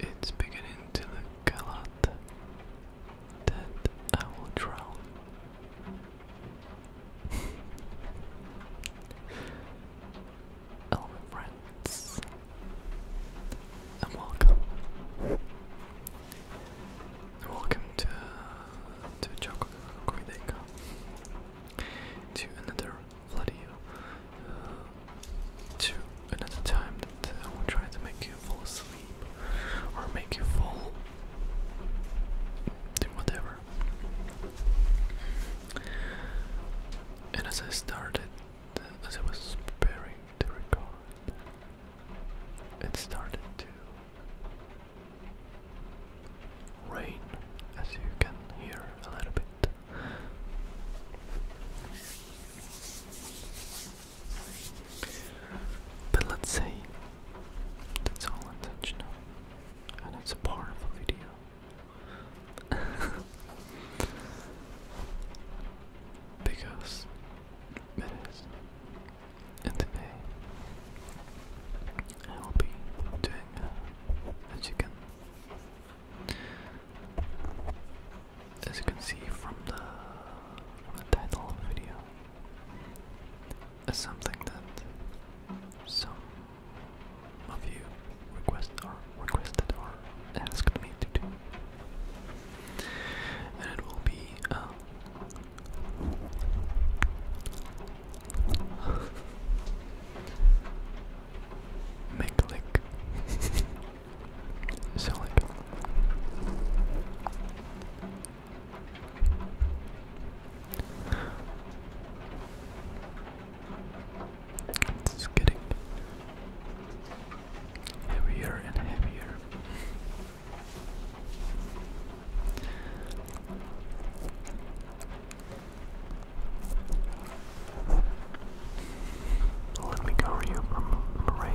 It's beginning to look a lot that I will drown. Hello and welcome. Welcome to to Choco to another flood you uh, to another time that uh, I will try to make you fall asleep or make you fall to whatever. And as I started, as I was preparing to record, it started to rain, as you can hear a little bit. But let's say that's all intentional, and it's a part of a video. because it is. And today I will be doing, uh, as you can as you can see from the, title of the video, is something that some of you requested or asked me to do, and it will be. Um, McLick. Solid. It's getting heavier and heavier. Let me cover you from the rain.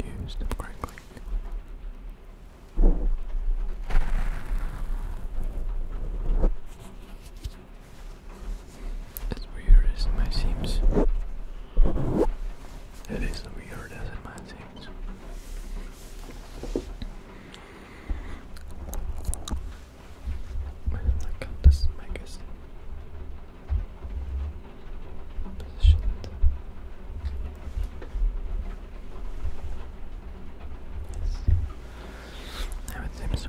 And as Use them correctly. As weird as it might it is weird as it might seem. Man, I got this mic is positioned now it seems.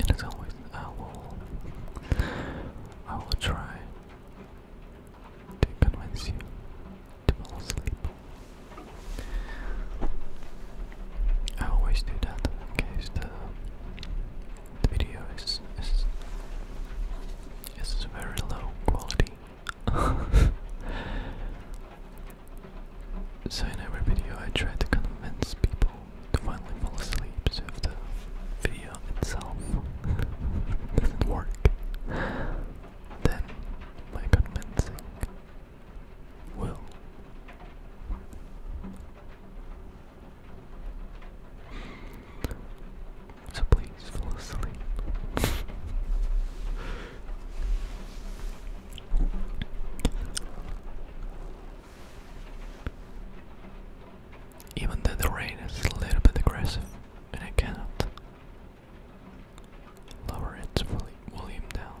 And as always, I will, I will try to convince you to fall asleep. I always do that in case the video is, is is very low quality. So in every video I try to convince people to finally fall asleep, so if the video itself doesn't work, then my convincing will. So please fall asleep. Even though the rain is a little bit aggressive, and I cannot lower its volume down.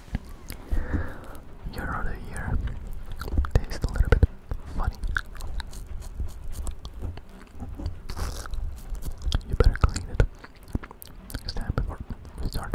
Year out of year tastes a little bit funny. You better clean it next before we start.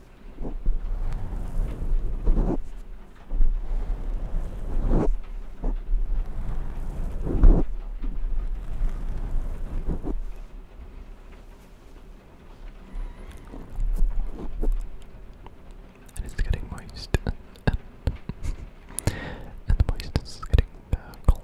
And it's getting moist, and, moist is getting uh, cold.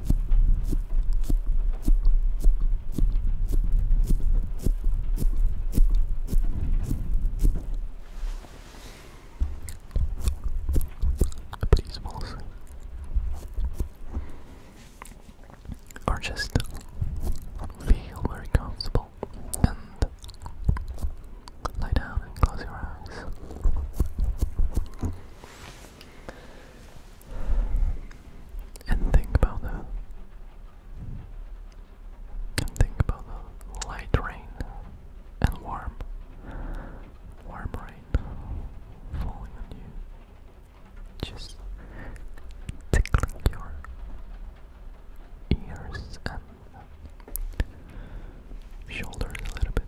Please fall Or just feel very comfortable and lie down and close your eyes. And think about the think about the light rain and warm warm rain falling on you. Just tickling your ears and shoulders a little bit.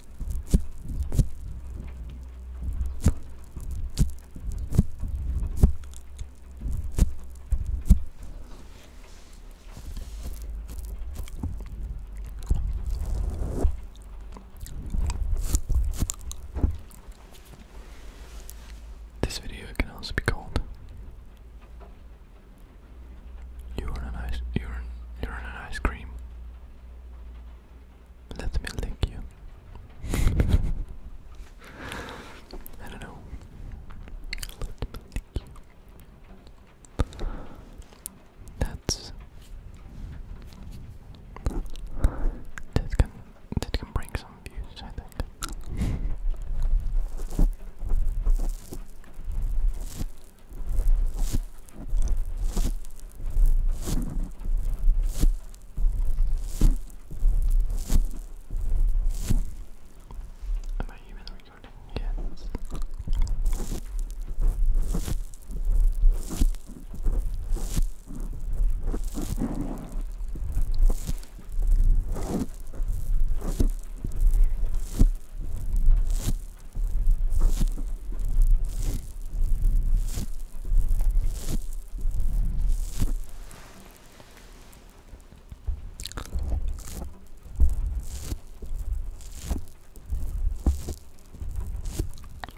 This video can also be called "You're an ice, you're you're an ice cream." Let me lick you. I don't know. Let me lick you. That's that can that can bring some views, I think. Am I even recording? Yes.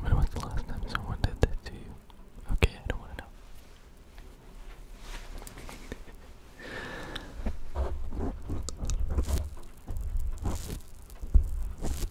When was the last time someone did this to you? Okay, I don't want to know.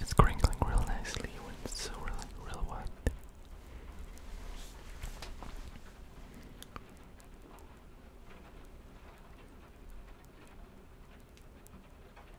It's crinkling real nicely when it's so really, really wet.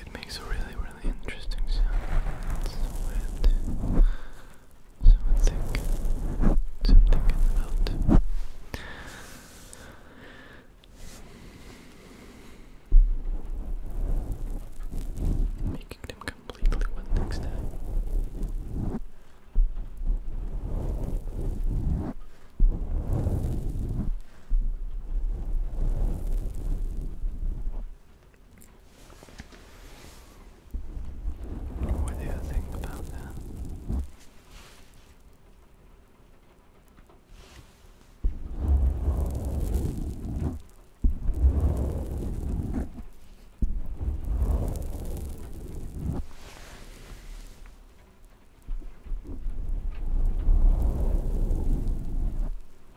It makes a really, really interesting sound So I think something about making them completely wet next time. What do you think about that?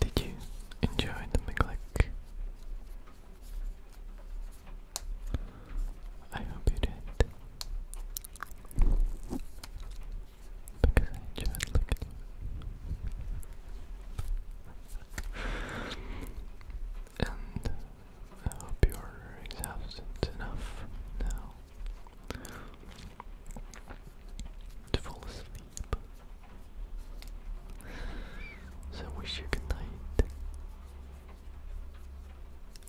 Did you enjoy the McClick? I hope you did. Because I enjoyed looking and I hope you're exhausted enough now to fall asleep. So wish you good night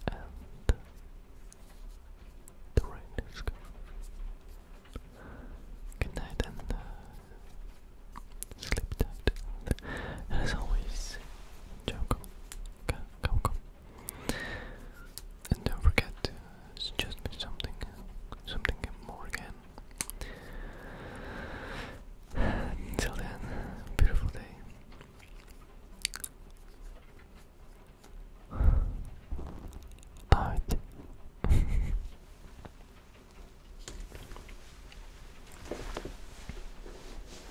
and the rain is gone. Good night and uh, sleep tight. as always, Joko Come, come. And don't forget to suggest me something, something more again. Until then, beautiful day. Out.